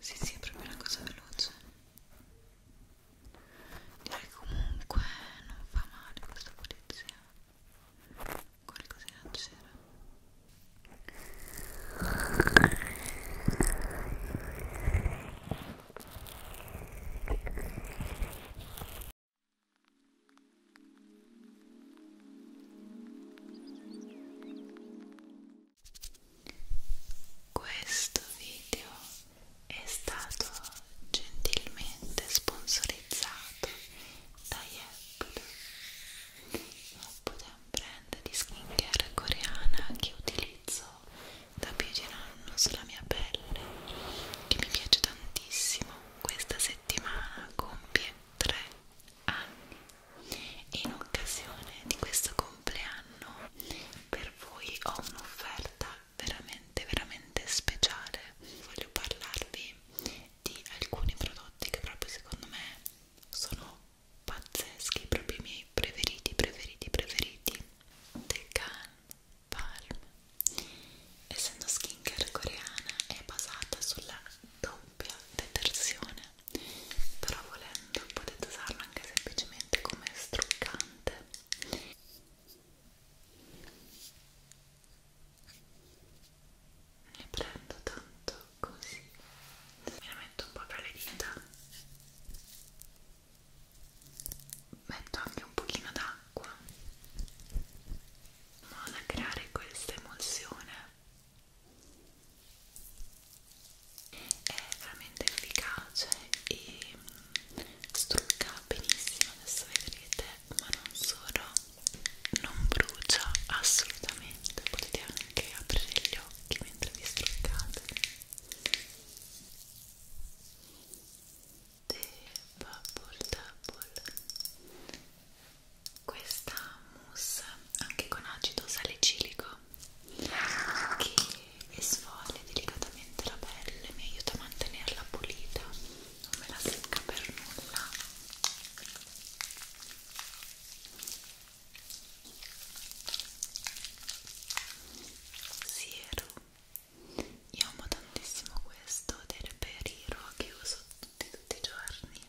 Sì, sì, è proprio una cosa veloce. Direi che comunque non fa male questa polizia. Qualcosina c'era. Questo video è stato gentilmente sponsorizzato da Yepude, Yepude è un brand di skincare coreana che utilizzo da più di un anno sulla mia pelle che mi piace tantissimo questa settimana compie 3 anni e in occasione di questo compleanno per voi ho un'offerta veramente veramente speciale voglio parlarvi di alcuni prodotti che proprio secondo me sono pazzeschi proprio i miei preferiti preferiti preferiti The Can Palm essendo skincare coreana è basata sulla doppia detersione però volendo potete usarla anche semplicemente come struccante ne prendo tanto così me la metto un po' tra le dita metto anche un pochino d'acqua in modo da creare questa emulsione è veramente efficace e mm, strucca benissimo adesso vedrete ma non solo non brucia assolutamente potete anche aprire gli occhi mentre vi struccate The Bubble Double questa mousse anche con acido salicilico che esfoglia delicatamente la pelle mi aiuta a mantenerla pulita non me la secca per nulla siero io amo tantissimo questo del periro che uso tutti, tutti i giorni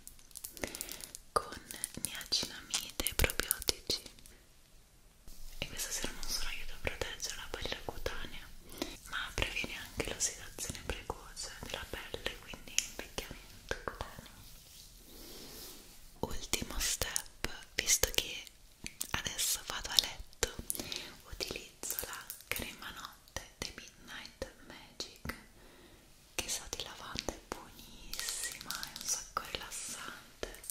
con niacinamide e probiotici e questa sera non solo aiuta a proteggere la barriera cutanea ma previene anche l'ossidazione precoce della pelle quindi invecchiamento cutaneo ultimo step visto che adesso vado a letto utilizzo la crema notte The Midnight Magic che sa di lavanda è buonissima è un sacco rilassante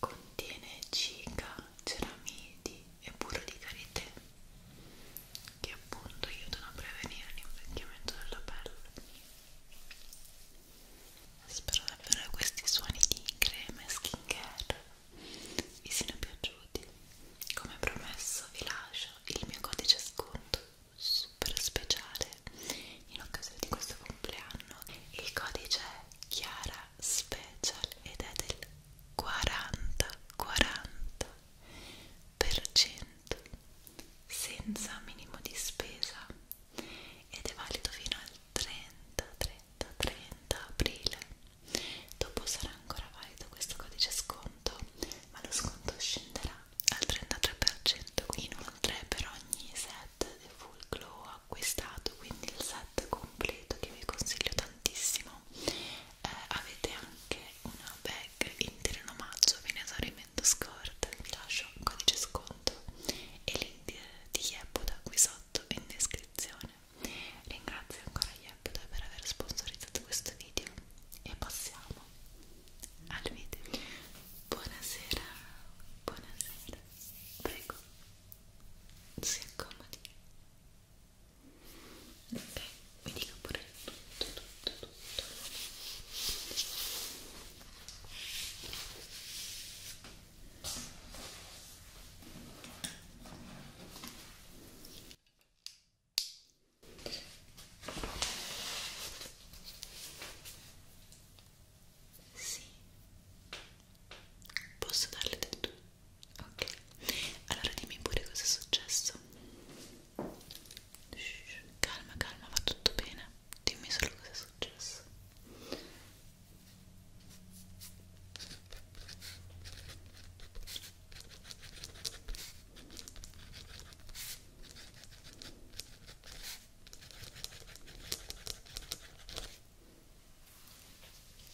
contiene cica, ceramidi e burro di karité che appunto aiutano a prevenire l'invecchiamento della pelle Spero davvero che questi suoni di crema e skincare vi siano piaciuti. Come promesso vi lascio il mio codice sconto super speciale in occasione di questo compleanno. Il codice è Chiara Special ed è del 40 40% senza minimo di spesa ed è valido fino al 30, 30, 30 aprile. Dopo sarà ancora valido questo codice sconto, ma lo sconto scenderà al 33%. Inoltre, per ogni set di full glow acquistato, quindi il set completo che vi consiglio tantissimo, eh, avete anche una bag intera in omaggio, viene a scrivendo scorta vi lascio un codice sconto e link di, di Yebuda qui sotto in descrizione ringrazio ancora Yebuda per aver sponsorizzato questo video e passiamo al video buonasera buonasera prego si accomodi ok mi dica pure tutto, tutto tutto tutto sì posso darle del tu? ok allora dimmi pure cosa è successo Shh, calma, calma, va tutto bene. Dimmi solo cosa è successo.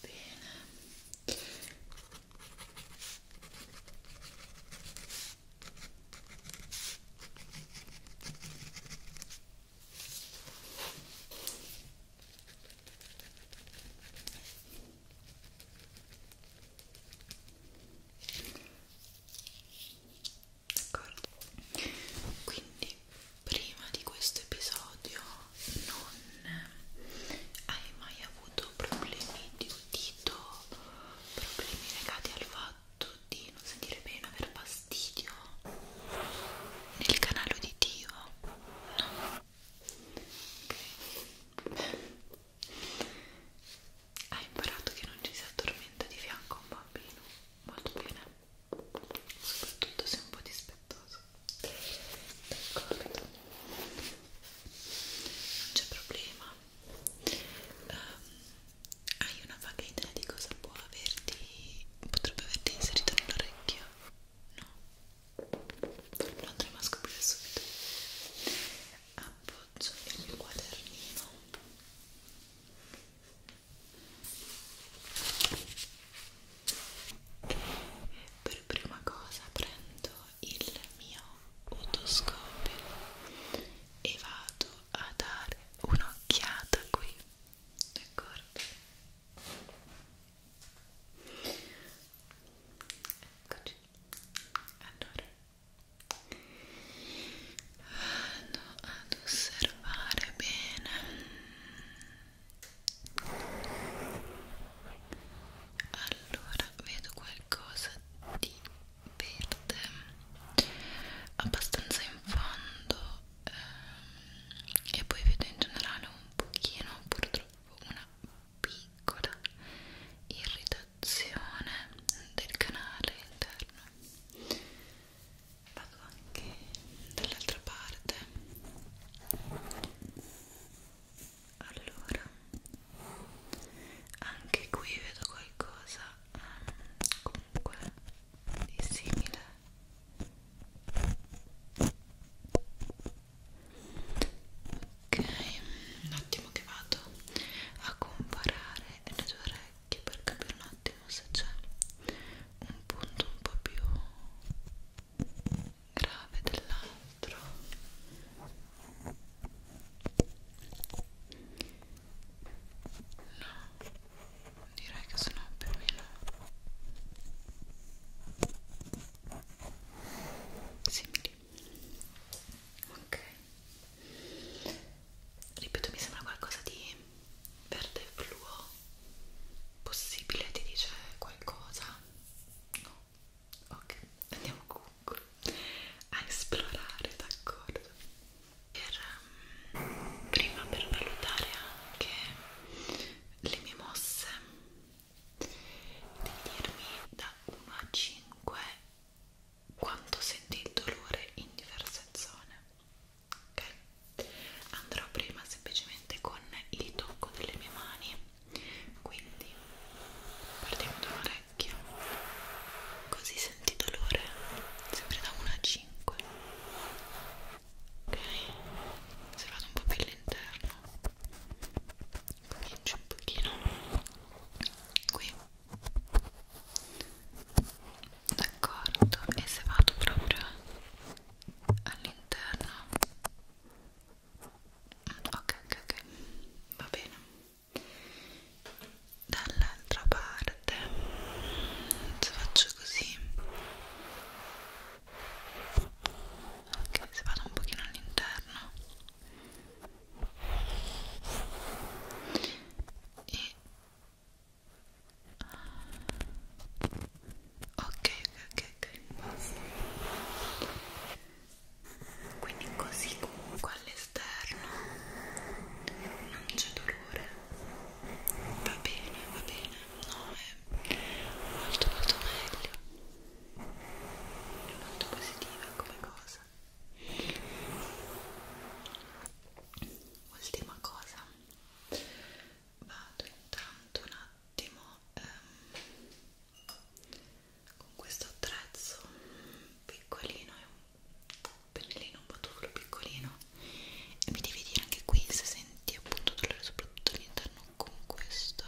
Bene. D'accordo? Quindi prima di questo episodio non hai mai avuto problemi di udito, problemi legati al fatto fatto di non sentire bene, aver fastidio nel canale uditivo? No? Ok. Hai imparato che non ci si addormenta di fianco a un bambino? Molto bene. Soprattutto se un po' dispettoso. D'accordo. Non c'è problema. Um, hai una vaga idea di cosa può averti potrebbe averti inserito nell'orecchio? no? lo andremo a scoprire subito appoggio il mio quadernino per prima cosa prendo il mio otoscopio e vado a dare un'occhiata qui d'accordo eccoci allora vado ad osservare bene allora vedo qualcosa di verde abbastanza in fondo ehm, e poi vedo in generale un pochino purtroppo una piccola irritazione del canale interno vado anche dall'altra parte allora anche qui vedo qualcosa um, comunque di simile ok un attimo che vado a comparare le due orecchie per capire un attimo se c'è un punto un po' più grave dell'altro No, direi che sono più o meno simili. Ok. Ripeto, mi sembra qualcosa di verde fluo. Possibile ti dice qualcosa? No. Ok, andiamo con a esplorare, d'accordo? Um, prima per valutare anche le mie mosse devi dirmi da 1 a 5 quanto senti il dolore in diverse zone ok? andrò prima semplicemente con il tocco delle mie mani quindi partiamo da orecchie specchio così senti dolore sempre da 1 a 5 ok se vado un po' più all'interno comincio un pochino qui d'accordo e se vado proprio all'interno mm, ok ok ok va bene dall'altra parte se faccio così ok se vado un pochino all'interno e ok ok ok, ok quindi così comunque all'esterno non c'è dolore va bene va bene no è molto molto meglio è molto positiva come cosa ultima cosa vado intanto un attimo ehm, con questo attrezzo piccolino è un pennellino un po' piccolino e mi devi dire anche qui se senti appunto dolore soprattutto all'interno con questo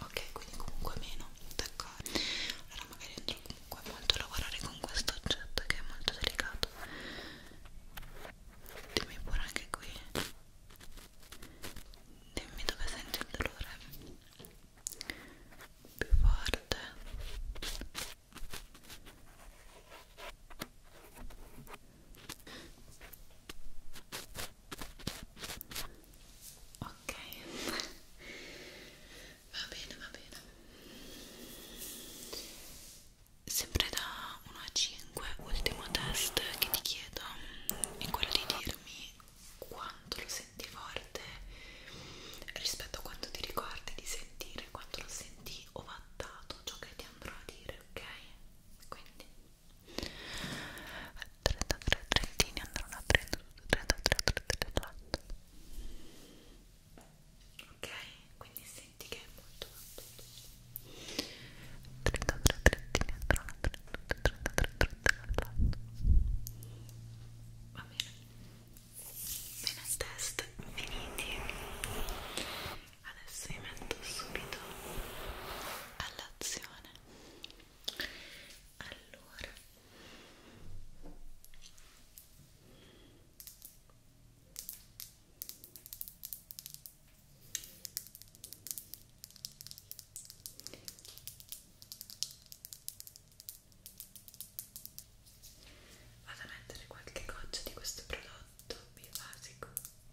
ok quindi comunque meno d'accordo allora magari andrò comunque molto a lavorare con questo oggetto che è molto delicato dimmi pure anche qui dimmi dove senti il dolore più forte ok Ok, va bene, va bene. Sempre da 1 a 5, ultimo test che ti chiedo è quello di dirmi quanto lo senti forte rispetto a quanto ti ricordi di sentire, quanto lo senti ovattato ciò che ti andrò a dire, ok? Quindi 33 trentini andranno a 32, 33, 34 ok, quindi senti che è molto molto 33 trentini andranno a 32, 33, 34 va bene bene, test finiti adesso vi metto subito all'azione allora vado a mettere qualche goccia di questo prodotto bivasico li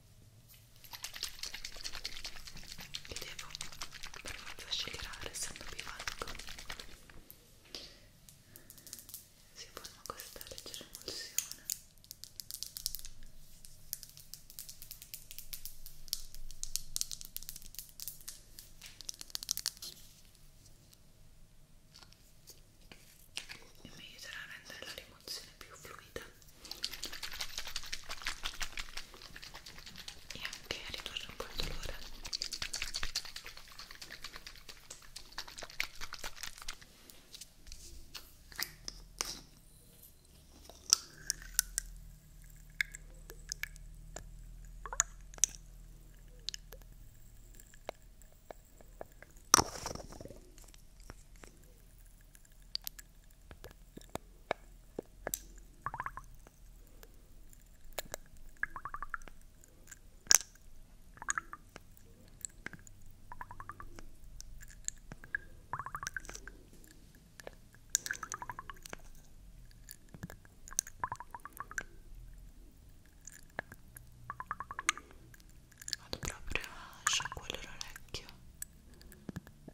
devo per forza scegliere essendo bivalco si forma questa leggera emulsione e mi aiuterà a rendere la un'emozione più fluida e anche a ridurre un po' il dolore Vado proprio a sciacquare l'orecchio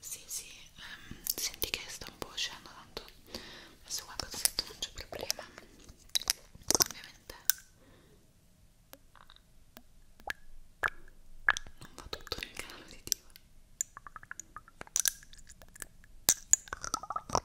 Sì, sì, um, senti che sta un po' uscendo tanto adesso qua cosa sotto non c'è problema ovviamente non va tutto nel canale uditivo ok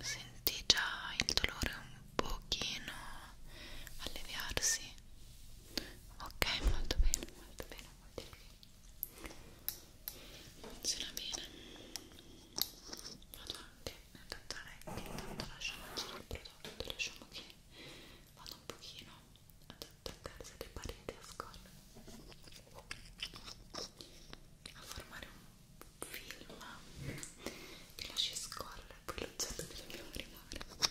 Senti già il dolore un pochino alleviarsi. Ok, molto bene, molto bene, molto bene. Funziona bene vado anche nel orecchie intanto lasciamo agire il prodotto lasciamo che vada un pochino ad attaccarsi alle pareti a scolla a formare un film che lasci scorrere poi l'oggetto che dobbiamo rimuovere ok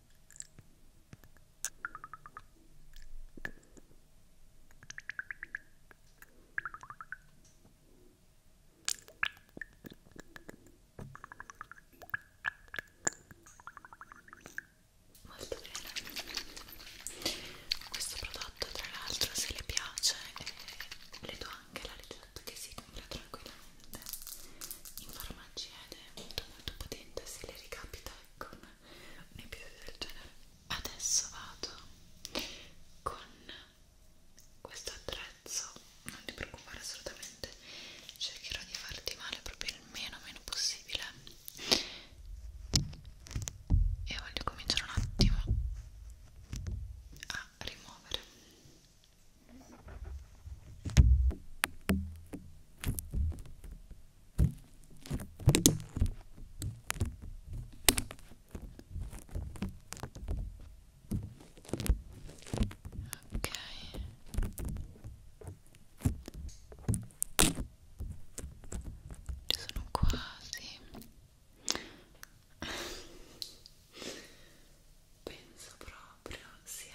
Molto bene. Questo prodotto, tra l'altro, se le piace, eh, le do anche la ricetta che si compra tranquillamente in farmacia ed è molto molto potente. Se le ricapita con un episodio del genere adesso vado con questo attrezzo non ti preoccupare assolutamente cercherò di farti male proprio il meno meno possibile e voglio cominciare un attimo a rimuovere Ok. Ci sono quasi. Penso proprio sia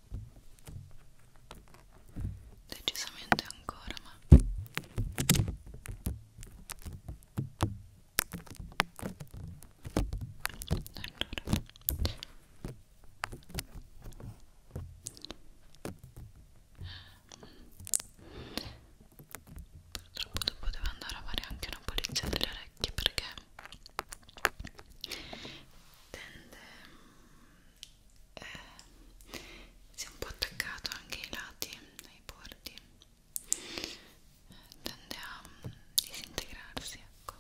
decisamente ancora ma allora purtroppo dopo devo andare a fare anche una pulizia delle orecchie perché tende eh, si è un po' attaccato anche ai lati, ai bordi eh, tende a disintegrarsi ecco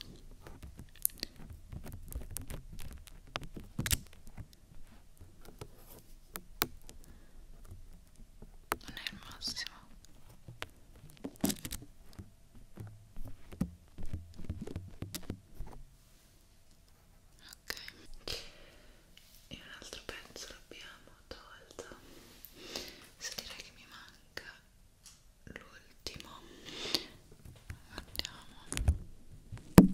non è il massimo ok e un altro pezzo l'abbiamo tolto se direi che mi manca l'ultimo guardiamo ok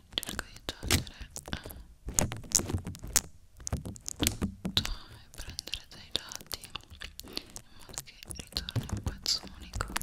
cerco di togliere tutto eh, e prendere dai lati in modo che ritorni un pezzo unico ok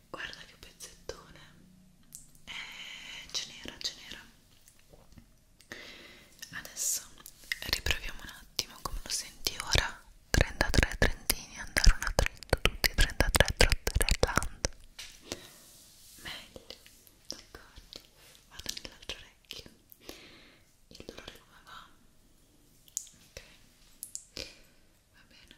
guarda che pezzettone eh, ce n'era, ce n'era adesso riproviamo un attimo come lo senti ora 33 trentini andare una trenta tutti 33 trotterelland meglio d'accordo vado nell'altro orecchio il dolore come va? ok va bene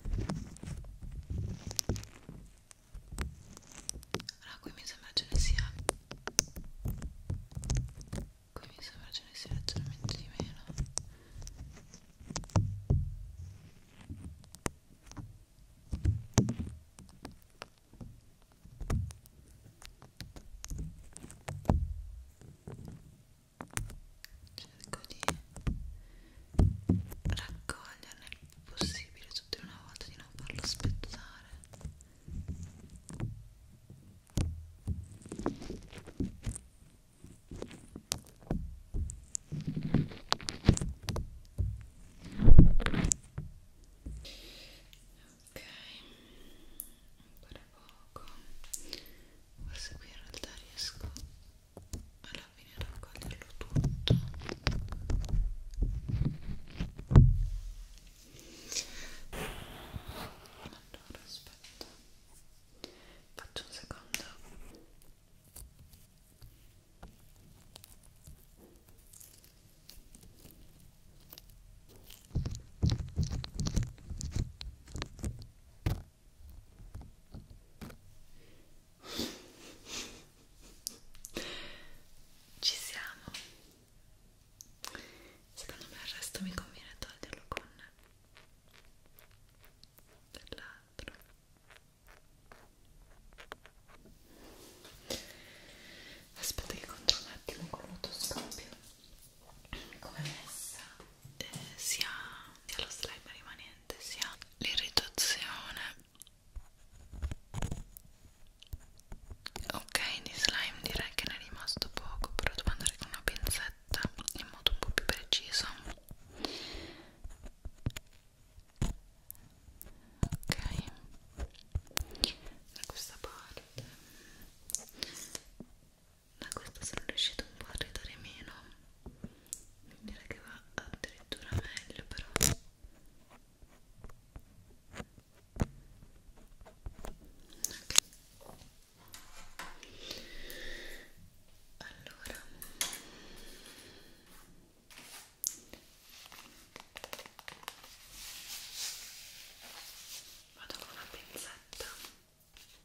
allora qui mi sembra ce ne sia qui mi sembra ce ne sia leggermente di meno cerco di raccoglierle il più possibile tutte una volta di non farlo aspettare ok ancora poco forse qui in realtà riesco alla fine raccoglierlo tutto allora aspetta faccio un secondo ok ci siamo. Secondo me il resto mi conviene toglierlo con dell'altro. Aspetta che controllo un attimo con l'autoscopio. Come è messa? eh, sia, sia lo slime rimanente sia l'irritazione ok di slime direi che ne è rimasto poco però devo andare con una pinzetta in modo un po' più preciso ok da questa parte da questa sono riuscita un po' a ridare meno direi che va addirittura meglio però okay. allora vado con una pinzetta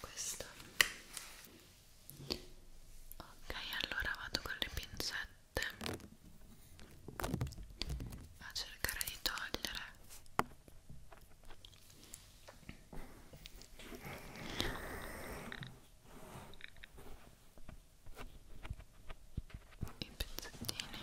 questo ok allora vado con le pinzette a cercare di togliere i pezzettini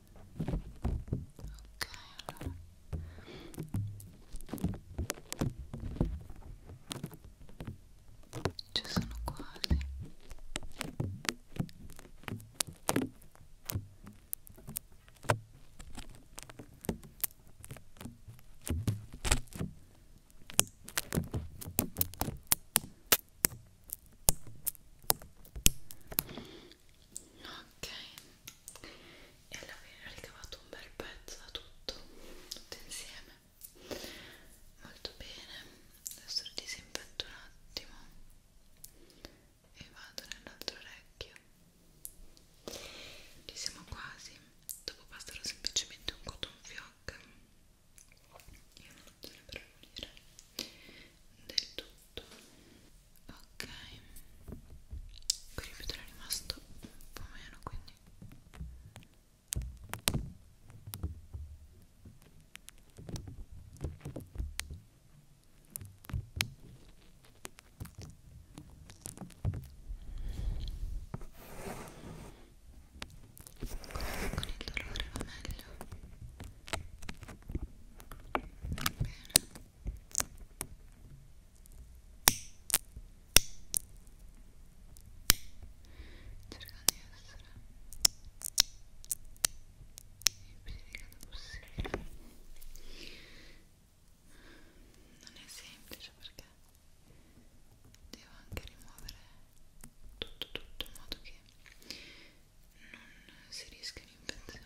Ok, allora ci sono quasi ok ok e alla fine ho ricavato un bel pezzo da tutto tutto insieme molto bene adesso lo disinfetto un attimo e vado nell'altro orecchio ci siamo quasi dopo passerò semplicemente un cotton fioc e una nozione per unire del tutto ok per il vetro è rimasto un po' meno quindi con il dolore va meglio non è semplice perché devo anche rimuovere tutto tutto in modo che non si rischia un'infezione ok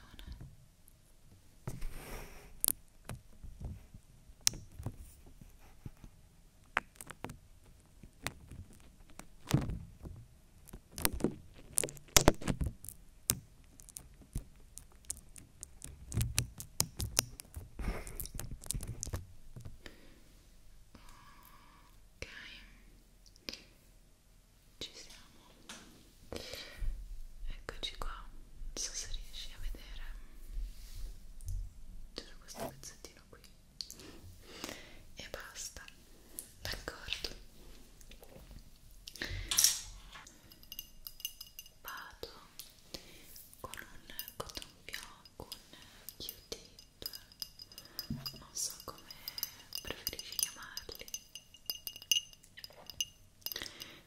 ci siamo eccoci qua non so se riesci a vedere c'era questo pezzettino qui e basta d'accordo vado con un cotton più con Q-tip non so come preferisci chiamarli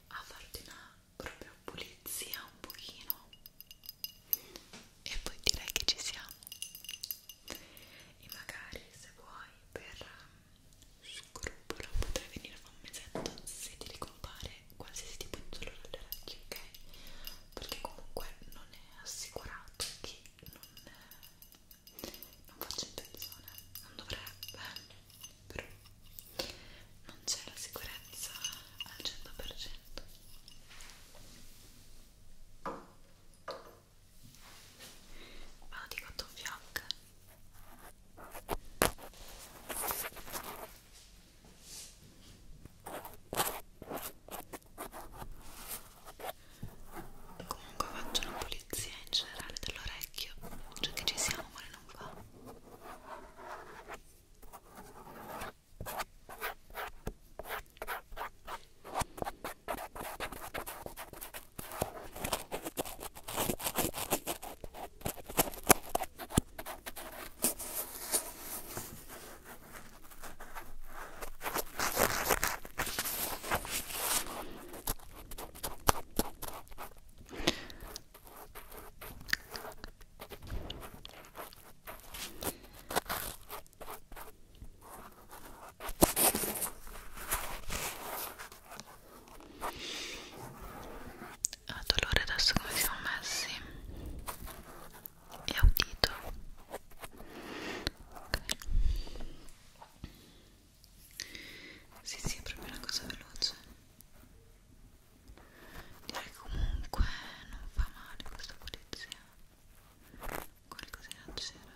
a farti una proprio pulizia un pochino e poi direi che ci siamo e magari se vuoi per um, scrupolo potrai venire a fare un mesetto se ti ricompare qualsiasi tipo di dolore alle orecchie ok perché comunque non è assicurato che non non faccio intenzione, non dovrebbe, però non c'è la sicurezza al 100%. Vado di cotton fioc comunque faccio una pulizia in generale dell'orecchio cioè che ci siamo ma non va a dolore adesso come siamo messi e audito okay. Sì, sì, è proprio una cosa veloce. Direi comunque non fa male questa pulizia. Qualcosina c'era.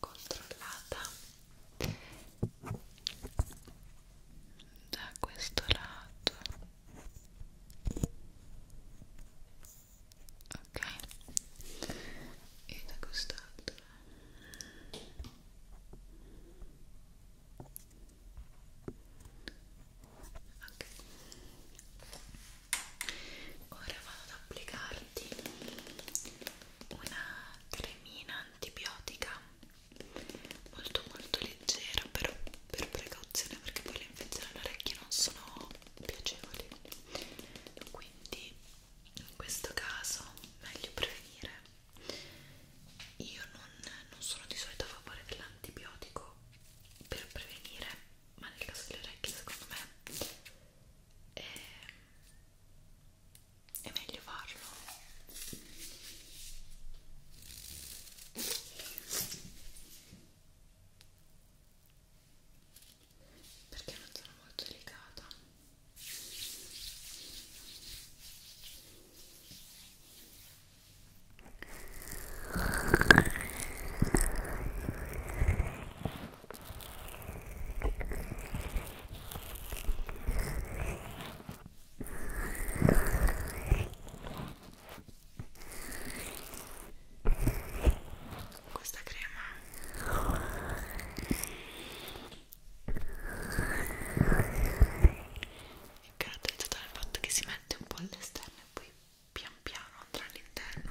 controllata da questo lato ok e da quest'altro ok ora vado ad applicarti una cremina antibiotica molto molto leggera però per precauzione perché poi le infezioni all'orecchio non sono piacevoli quindi in questo caso meglio prevenire io non, non sono di solito a favore dell'antibiotico per prevenire ma nel caso delle orecchie secondo me è è meglio farlo perché non sono molto delicata questa crema è caratterizzata dal fatto che si mette un po' all'esterno e poi pian piano andrà all'interno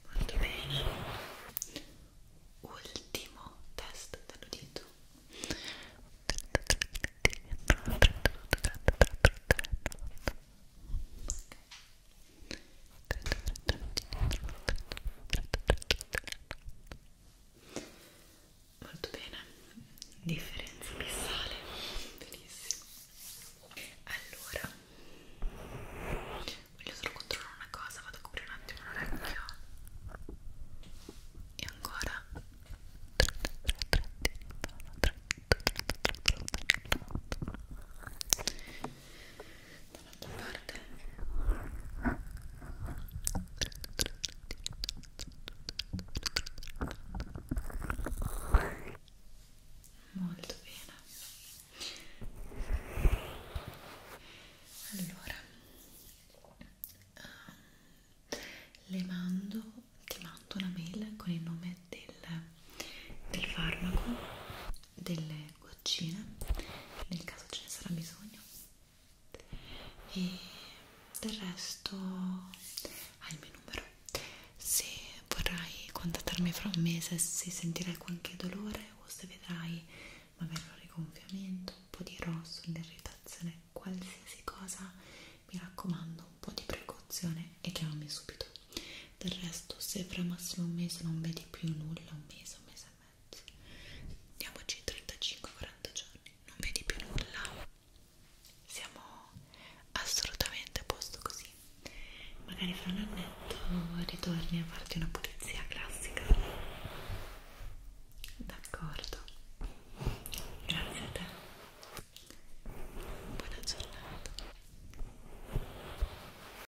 molto bene ultimo test dell'udito okay molto bene differenza abissale benissimo allora voglio solo controllare una cosa vado a coprire un attimo l'orecchio e ancora dall'altra parte molto bene allora ehm, le mando ti mando una mail con il nome del, del farmaco delle goccine nel caso ce ne sarà bisogno e del resto hai il mio numero se vorrai contattarmi fra un mese se sentirai qualche dolore o se vedrai magari un rigonfiamento un po' di rosso, un'irritazione qualsiasi cosa mi raccomando un po' di precauzione e chiamami subito del resto se fra massimo un mese non vedi più nulla un mese, un mese e mezzo diamoci 35-40 giorni non vedi più nulla siamo assolutamente a posto così magari fra un annetto ritorni a farti una pulizia classica d'accordo grazie a te buona giornata